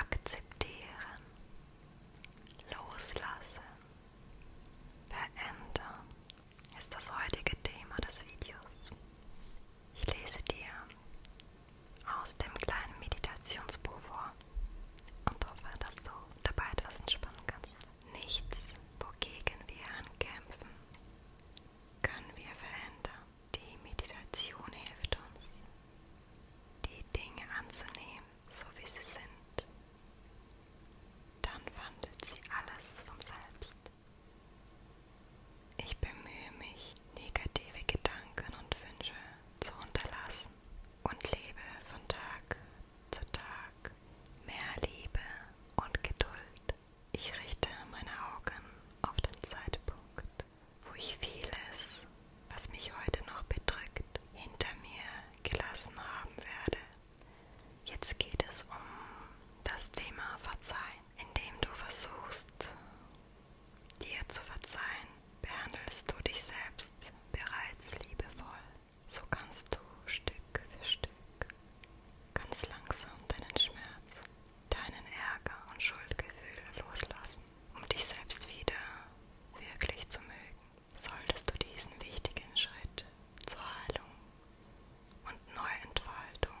Akzeptieren, loslassen, verändern ist das heutige Thema des Videos. Ich lese dir aus dem kleinen Meditationsbuch vor und hoffe, dass du dabei etwas entspannen kannst. Nichts, wogegen wir ankämpfen, können wir verändern. Die Meditation hilft uns, die Dinge anzunehmen, so wie sie sind. Dann wandelt sie alles von selbst. Ich bemühe mich, negative Gedanken und Wünsche zu unterlassen und lebe von Tag zu Tag mehr Liebe und Geduld ich richte meine Augen auf den Zeitpunkt, wo ich vieles, was mich heute noch bedrückt, hinter mir gelassen haben werde. Jetzt geht es um das Thema Verzeihen. Indem du versuchst, dir zu verzeihen, behandelst du dich selbst bereits liebevoll. So kannst du Stück für Stück Ganz langsam deinen Schmerz, deinen Ärger und Schuldgefühle loslassen, um dich selbst wieder wirklich zu mögen. Solltest du diesen wichtigen Schritt zur Heilung und Neuentfaltung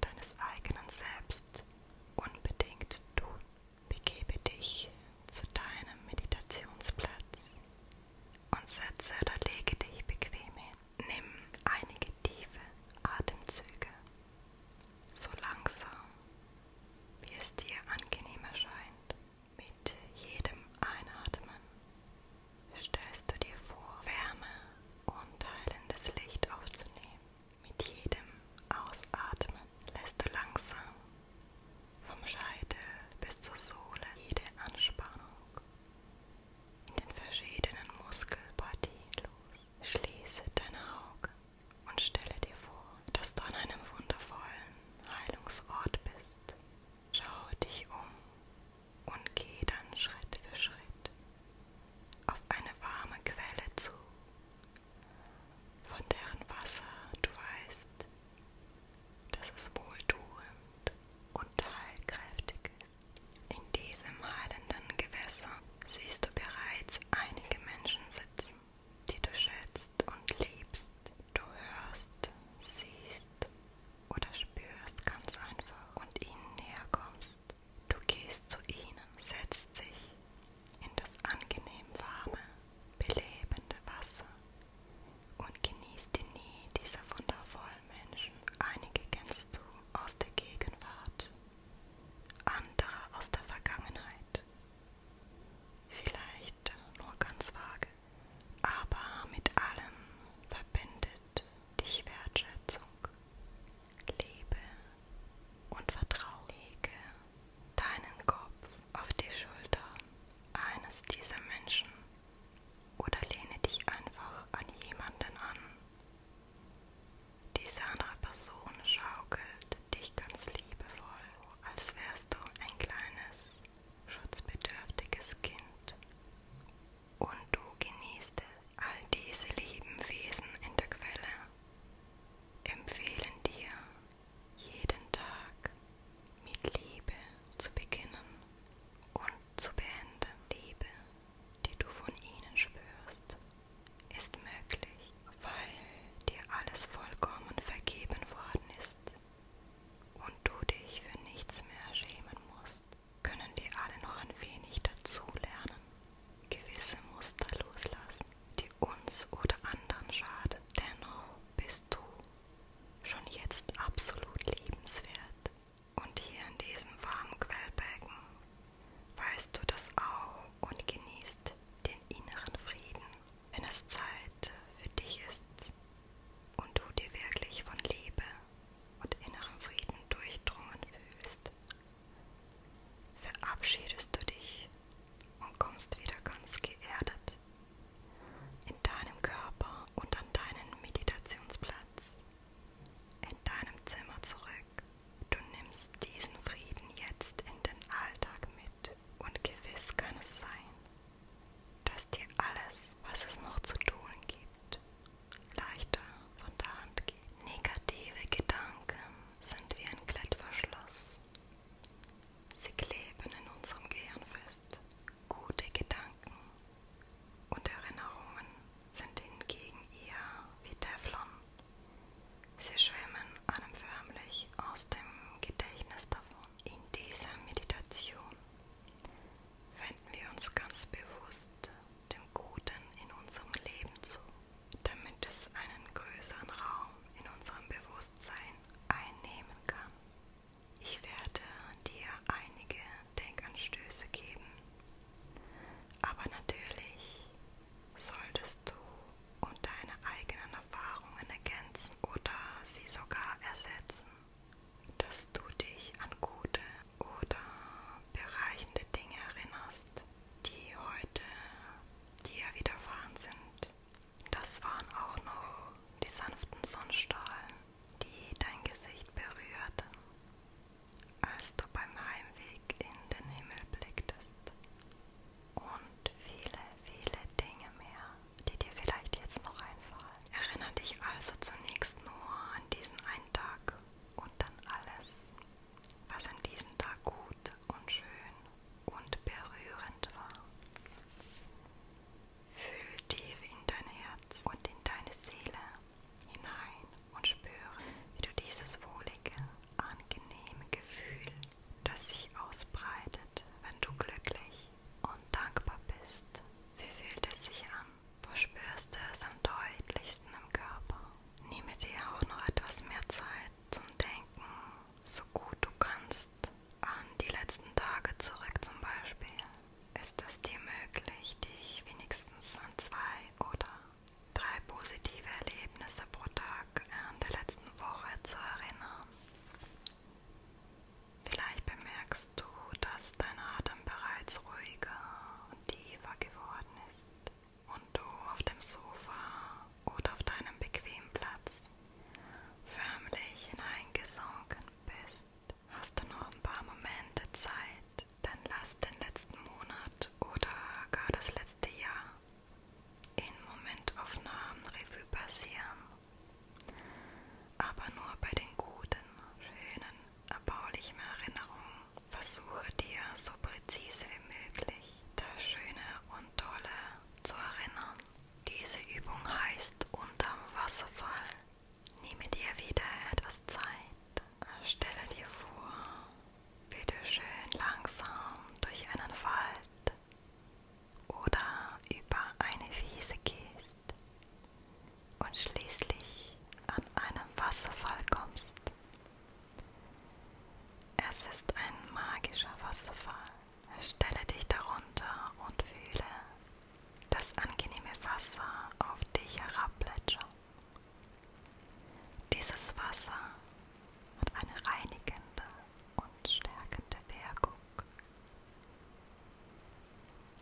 deines eigenen Selbst unbedingt tun, begebe dich zu deinem Meditationsplatz und setze oder lege dich bequem hin. Nimm einige tiefe Atemzüge, so langsam, wie es dir angenehm erscheint. Mit jedem Einatmen stellst du dir vor, Wärme und heilendes Licht aufzunehmen. Mit jedem Ausatmen lässt du langsam vom Scheitel bis zur Sohle jede Anspannung in den verschiedenen Muskelpartien los. Schließe deine Augen und stelle dir vor, dass du an einem wundervollen Heilungsort bist. Schau dich um und geh dann Schritt für Schritt auf eine warme Quelle zu, von deren Wasser du weißt, dass es wohltuend und heilkräftig ist. In diesem heilenden Gewässer siehst du bereits einige Menschen sitzen, die du schätzt und liebst. Du hörst, siehst oder spürst ganz einfach und ihnen näher kommst. Du gehst zu ihnen, setzt dich in das angenehm warme, belebende Wasser und genießt die Nähe dieser wundervollen Menschen. Einige kennst du, aus der Gegenwart, andere aus der Vergangenheit. Vielleicht nur ganz vage, aber mit allem verbindet dich Wertschätzung. Liebe und Vertrauen. Lege deinen Kopf auf die Schulter eines dieser Menschen oder lehne dich einfach an jemanden an, diese andere Person schaukelt dich ganz liebevoll, als wärst du ein kleines, schutzbedürftiges Kind. Und du genießt es. All diese lieben Wesen in der Quelle empfehlen dir, jeden Tag mit Liebe zu beginnen und zu beenden. Liebe, die du von ihnen spürst, ist möglich, weil dir alles vollkommen vergeben worden ist und du dich für nichts mehr schämen musst, können wir alle noch ein wenig dazu lernen, gewisse Muster loslassen, die uns oder anderen schaden. Dennoch bist du schon jetzt absolut liebenswert und hier in diesem warmen Quellbecken weißt du das auch und genießt den inneren Frieden, wenn es Zeit für dich ist und du dir wirklich von Liebe und innerem Frieden durchdrungen fühlst. Verabschiedest du dich und kommst wieder ganz geerdet in deinem Körper und an deinen Meditationsplatz in deinem Zimmer zurück. Du nimmst diesen Frieden jetzt in den Alltag mit und gewiss kann es sein, dass dir alles, was es noch zu tun gibt, leichter von der Hand geht. Negative Gedanken sind wie ein Klettverschluss. Sie kleben in unserem Gehirn fest. Gute Gedanken und Erinnerungen sind hingegen eher wie Teflon. Sie schwimmen einem förmlich aus dem Gedächtnis davon. In dieser Meditation wenden wir uns ganz bewusst dem Guten in unserem Leben zu, damit es einen größeren Raum in unserem Bewusstsein einnehmen kann. Ich werde dir einige Denkanstöße geben. Aber natürlich solltest du und deine eigenen Erfahrungen ergänzen oder sie sogar ersetzen, dass du dich an gute oder bereichende Dinge erinnerst, die heute dir widerfahren sind. Das waren auch noch die sanften Sonnenstrahlen, die dein Gesicht berührten als du beim Heimweg in den Himmel blicktest. Und viele, viele Dinge mehr, die dir vielleicht jetzt noch einfallen. Erinnere dich also zunächst nur an diesen einen Tag und dann alles, was an diesem Tag gut und schön und berührend war. Fühl tief in dein Herz und in deine Seele, hinein und spüre, wie du dieses wohlige, angenehme Gefühl, das sich ausbreitet, wenn du glücklich und dankbar bist. Wie fühlt es sich an? Wo spürst du es am deutlichsten im Körper? Nehme dir auch noch etwas mehr Zeit zum Denken, so gut du kannst, an die letzten Tage zurück zum Beispiel. Ist es dir möglich, dich wenigstens an zwei oder drei positive Erlebnisse pro Tag in der letzten Woche zu erinnern. Vielleicht bemerkst du, dass dein Atem bereits ruhiger und tiefer geworden ist und du auf dem Sofa oder auf deinem bequemen Platz förmlich hineingesunken bist. Hast du noch ein paar Momente Zeit, dann lass den letzten Monat oder gar das letzte Jahr in Momentaufnahmen Revue passieren. Aber nur bei den guten, schönen, erbaulichen Erinnerungen versuche dir so präzise wie möglich das Schöne und Tolle zu erinnern. Diese Übung heißt unterm Wasserfall. Nehme dir wieder etwas Zeit stelle dir vor, wie du schön langsam durch einen Wald oder über eine Wiese gehst und schließlich an einem Wasserfall kommst. Es ist ein magischer Wasserfall. Stelle dich darunter und fühle das angenehme Wasser auf dich herabplätschern. Dieses Wasser hat eine reinigende und stärkende Wirkung.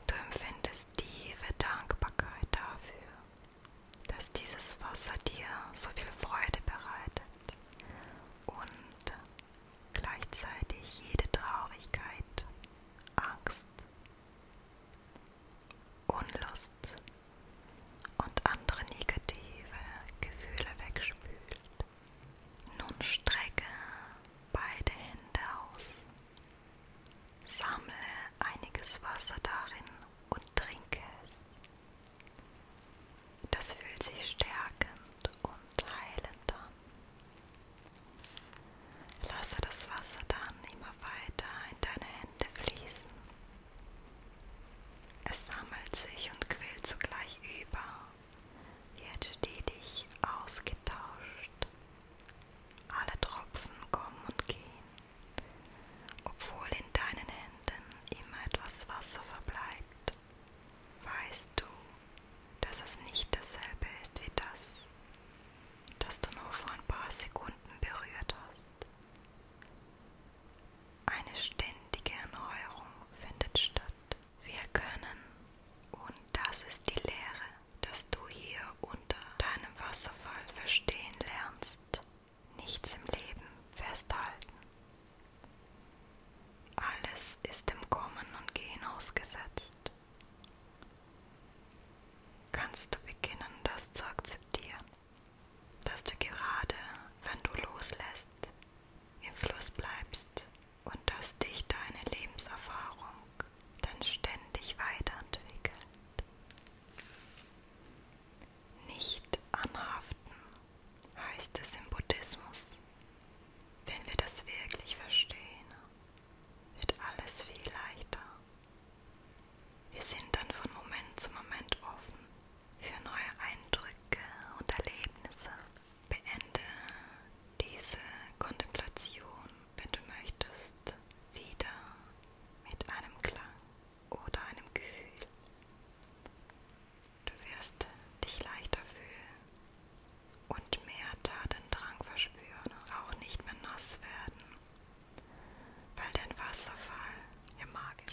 Du empfindest tiefe Dankbarkeit dafür, dass dieses Wasser dir so viel Freude bereitet und gleichzeitig jede Traurigkeit, Angst Unlust und andere negative Gefühle wegspült. Nun strecke beide Hände aus, sammle einiges Wasser darin und trinke es. Das fühlt sich stärkend und heilend an. Lasse das Wasser dann immer weiter in deine Hände fließen es sammelt sich und quillt zugleich über, wird stetig ausgetauscht. Alle Tropfen kommen und gehen, obwohl in deinen Händen immer etwas Wasser verbleibt. Weißt du, dass es nicht dasselbe ist wie das, das du noch vor ein paar Sekunden berührt hast. Eine ständige Erneuerung findet statt. Wir können, und das ist die Lehre, dass du hier unter deinem Wasserfall verstehen lernst, nichts im Leben festhalten. Alles ist dem Kommen und Gehen ausgesetzt. Kannst du beginnen, das zu akzeptieren? dass du gerade, wenn du loslässt, im Fluss bleibst und dass dich deine Lebenserfahrung dann ständig weiterentwickelt. Nicht anhaften heißt es im Buddhismus. Wenn wir das wirklich verstehen, wird alles viel leichter wir sind dann von Moment zu Moment offen für neue Eindrücke und Erlebnisse. Beende diese Kontemplation, wenn du möchtest, wieder mit einem Klang oder einem Gefühl. Du wirst dich leichter fühlen und mehr Tatendrang verspüren, auch nicht mehr nass werden weil den Wasserfall im Magen.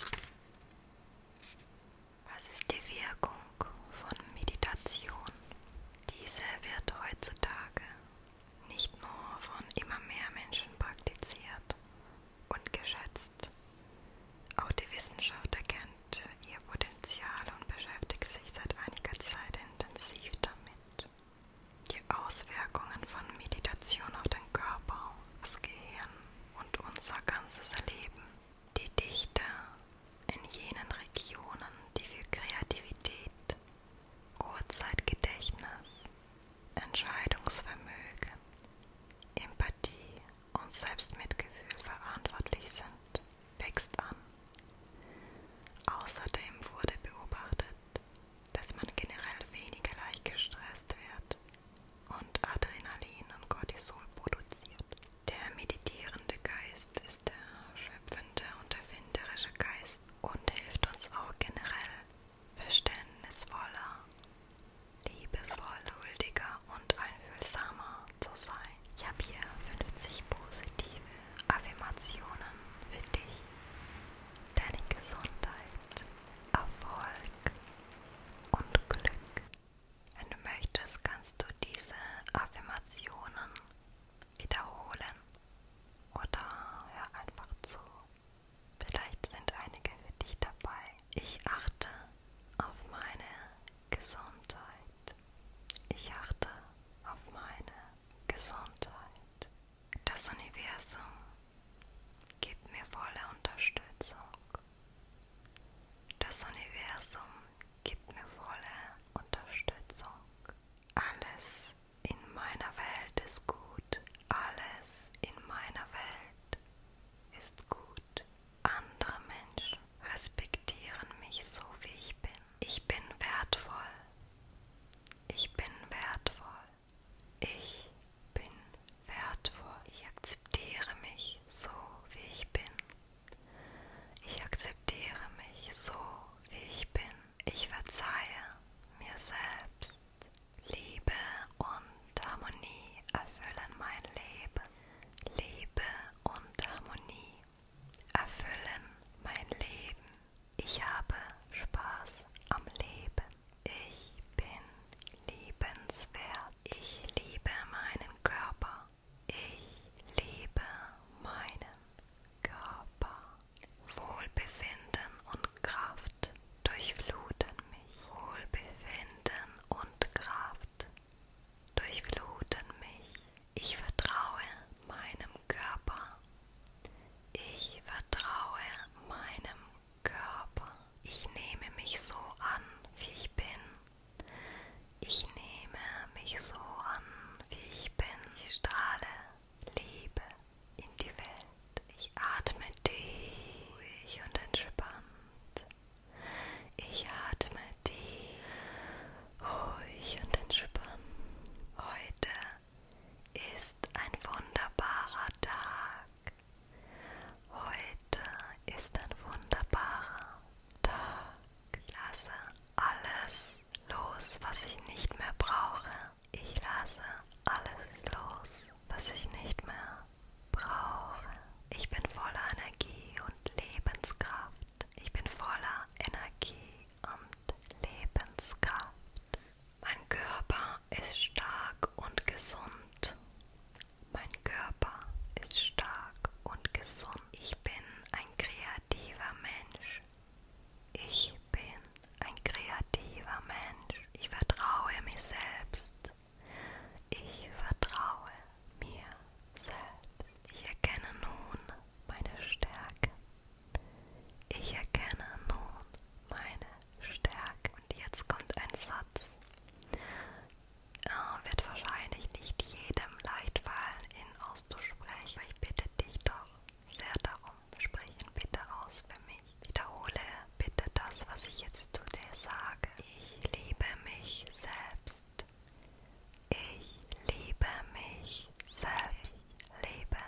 Was ist die Wirkung von Meditation? Diese wird heutzutage nicht nur von immer mehr Menschen praktiziert und geschätzt. Auch die Wissenschaft erkennt ihr Potenzial und beschäftigt sich seit einiger Zeit intensiv damit. Die Auswirkungen von Meditation auf den Körper, das Gehirn und unser ganzes Leben. Die Dichte in jenen Regionen, die für Kreativität, Kurzzeitgedächtnis, Entscheidungsvermögen, Empathie und Selbstmitgefühl verantwortlich sind, wächst an. Außerdem wurde beobachtet, dass man generell weniger leicht gestresst wird und Adrenalin und Cortisol produziert. Der meditierende Geist ist der schöpfende und erfinderische Geist und hilft uns auch generell verständnisvoller, liebevoll, huldiger und einfühlsamer zu sein. Ich habe hier 50 positive Affirmationen für dich, deine Gesundheit Erfolg und Glück. Wenn du möchtest, kannst du diese Affirmationen wiederholen oder hör einfach zu. Vielleicht sind einige für dich dabei. Ich achte auf meine Gesundheit. Ich achte auf meine Gesundheit. Das Universum gibt mir volle Unterstützung. Das Universum gibt mir volle Unterstützung. Alles in meiner Welt ist gut. Alles in meiner Welt ist gut. Andere Menschen respektieren mich so, wie ich bin. Ich bin wertvoll. Ich bin wertvoll. Ich bin wertvoll. Ich akzeptiere mich so, wie ich bin. Ich akzeptiere mich so, wie ich bin. Ich verzeihe mir selbst. Liebe und Harmonie erfüllen mein Leben. Liebe und Harmonie erfüllen mein Leben. Ich habe Spaß am Leben. Ich bin liebenswert. Ich liebe meinen Körper. Ich liebe meinen Körper. Wohlbefinden und Kraft durchfluten mich. Wohlbefinden und Kraft durchfluten mich. Ich vertraue meinem Körper. Ich vertraue meinem Körper. Ich nehme mich so an, wie ich bin. Ich nehme mich so an, wie ich bin. Ich strahle Liebe in die Welt. Ich atme tief und entspannt. Ich atme tief, ruhig und entspannt. Heute ist ein wunderbarer Tag. Heute ist ein wunderbarer Tag. Ich lasse alles los, was ich nicht mehr brauche. Ich lasse alles los, was ich nicht mehr brauche. Ich bin voller Energie und Lebenskraft. Ich bin voller Energie und Lebenskraft. Mein Körper ist stark und gesund. Mein Körper ist stark und gesund. Ich bin ein kreativer Mensch. Ich bin ein kreativer Mensch. Ich vertraue mir selbst. Ich vertraue mir selbst. Ich erkenne nun meine Stärke. Ich erkenne nun meine stärken. Und jetzt kommt ein Satz. Oh, wird wahrscheinlich nicht jedem leicht fallen, ihn auszusprechen. Ich bitte dich doch sehr darum, sprich ihn bitte aus für mich. Wiederhole bitte das, was ich jetzt zu dir sage. Ich liebe mich selbst. Ich liebe mich selbst. Ich liebe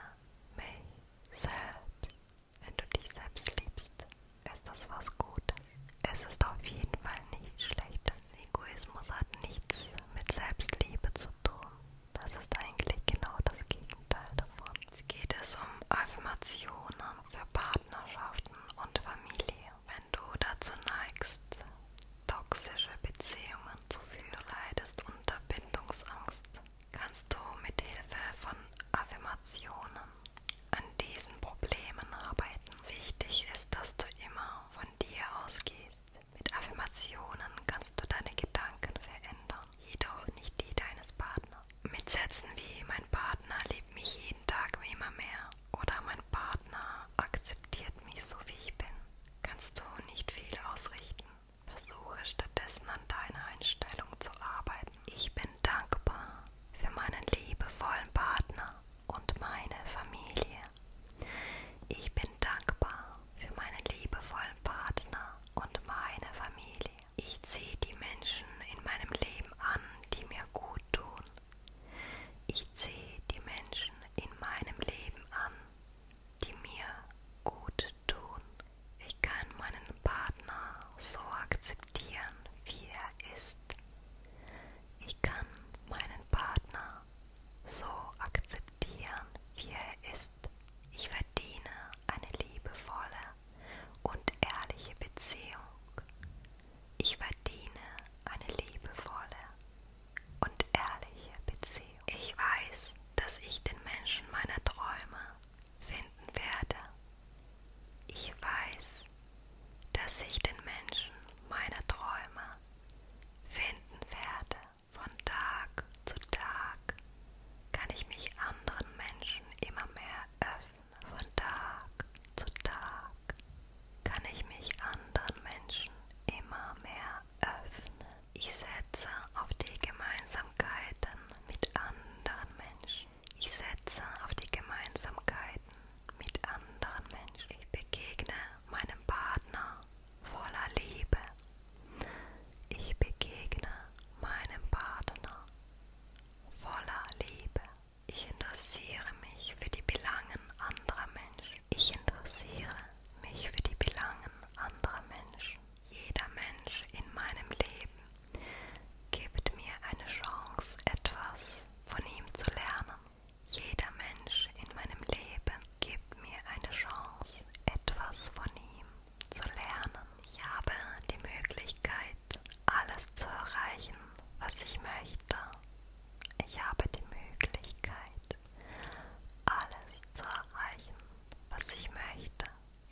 mich selbst. Wenn du dich selbst liebst, ist das was Gutes. Es ist auf jeden Fall nicht schlecht. Egoismus hat nichts mit Selbstliebe zu tun. Das ist eigentlich genau das Gegenteil davon. Jetzt geht es um Affirmationen für Partnerschaften und Familie. Wenn du dazu neigst, toxische Beziehungen zu führen, leidest unter Bindungsangst, kannst du mit Hilfe von Affirmationen an diesen Problemen arbeiten. Wichtig ist, dass du immer von dir ausgehst. Mit Affirmationen kannst du deine Gedanken verändern, jedoch nicht die deines Partners. Mit Sätzen wie mein Partner liebt mich jeden Tag immer mehr oder mein Partner akzeptiert mich so wie ich bin, kannst du nicht viel ausrichten. Versuche stattdessen an deiner Einstellung zu arbeiten ich bin dankbar für meinen liebevollen Partner und meine Familie. Ich bin dankbar für meinen liebevollen Partner und meine Familie. Ich ziehe die Menschen in meinem Leben an, die mir gut tun. Ich ziehe die Menschen in meinem Leben an, die mir gut tun. Ich kann meinen Partner so akzeptieren, wie er ist. Ich kann meinen Partner so akzeptieren, wie er ist. Ich verdiene eine liebevolle und ehrliche Beziehung. Ich verdiene eine liebevolle und ehrliche Beziehung. Ich weiß, dass ich den Menschen meiner Träume finden werde. Ich weiß, dass ich den Menschen meiner Träume finden werde. Von Tag zu Tag kann ich mich anderen Menschen immer mehr öffnen. Von Tag zu Tag kann ich mich anderen Menschen immer mehr öffnen. Ich setze auf die Gemeinsamkeiten mit anderen Menschen. Ich setze auf die Gemeinsamkeiten mit anderen Menschen. Ich begegne meinem Partner voller Liebe. Ich begegne meinem Partner voller Liebe. Ich interessiere mich für die Belangen anderer Menschen. Ich interessiere mich für die Belangen anderer Menschen. Jeder Mensch in meinem Leben Gebt mir eine Chance, etwas von ihm zu lernen. Jeder Mensch in meinem Leben gibt mir eine Chance, etwas von ihm zu lernen. Ich habe die Möglichkeit, alles zu erreichen, was ich möchte. Ich habe die Möglichkeit, alles zu erreichen, was ich möchte.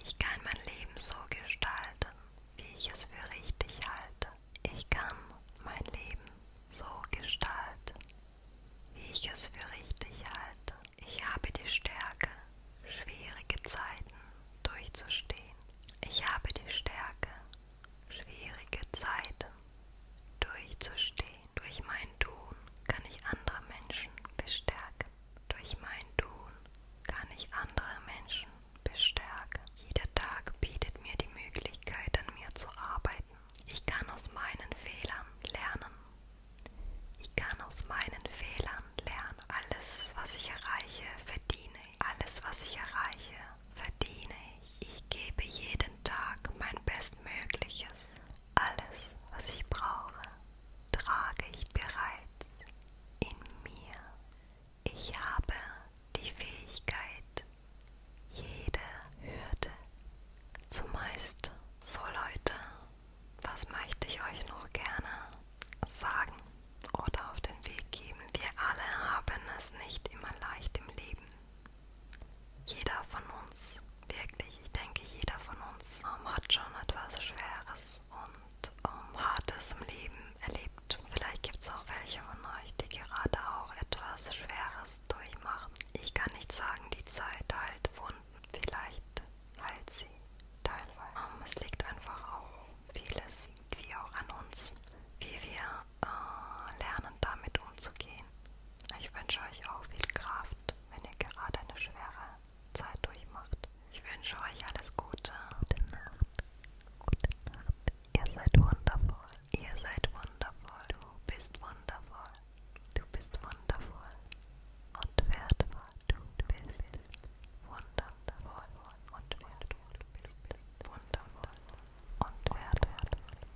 Ich kann mein Leben so gestalten, wie ich es für richtig halte. Ich kann mein Leben so gestalten, wie ich es für richtig halte. Ich habe die Stärke, schwierige Zeiten durchzustehen. Ich habe die Stärke, schwierige Zeiten durchzustehen. Durch mein Tun kann ich andere Menschen bestärken. Durch mein Tun kann ich andere Menschen bestärken. Jeder Tag bietet mir die Möglichkeit, an mir zu arbeiten. Ich kann aus meinen Fehlern lernen. Ich kann aus meinen Fehlern lernen. Alles, was ich erreiche, verdiene ich. Alles, was ich erreiche, verdiene ich. Ich gebe jeden Tag mein Bestmögliches. Alles, was ich brauche, trage ich bereits in mir. Ich habe die Fähigkeit, jede Hürde Zumeist so Leute, was möchte ich euch noch gerne sagen oder auf den Weg geben? Wir alle haben es nicht immer leicht im Leben. Jeder von uns, wirklich, ich denke, jeder von uns hat schon etwas Schweres und um ähm, Hartes im Leben erlebt. Vielleicht gibt es auch welche von euch, die gerade auch etwas Schweres durchmachen. Ich kann nicht sagen, die Zeit heilt Wunden. Vielleicht heilt sie teilweise. Um, ähm, es liegt einfach auch vieles, wie auch an uns, wie wir äh, lernen, damit umzugehen. Ich wünsche euch auch viel Kraft, wenn ihr gerade eine schwere Zeit durchmacht. Ich wünsche euch alles Gute. Gute Nacht. Gute Nacht. Ihr seid wundervoll. Ihr seid wundervoll. Du bist wundervoll. Du bist wundervoll. Und wertvoll. Du bist wundervoll. Und wertvoll. Du bist wundervoll. Und wertvoll.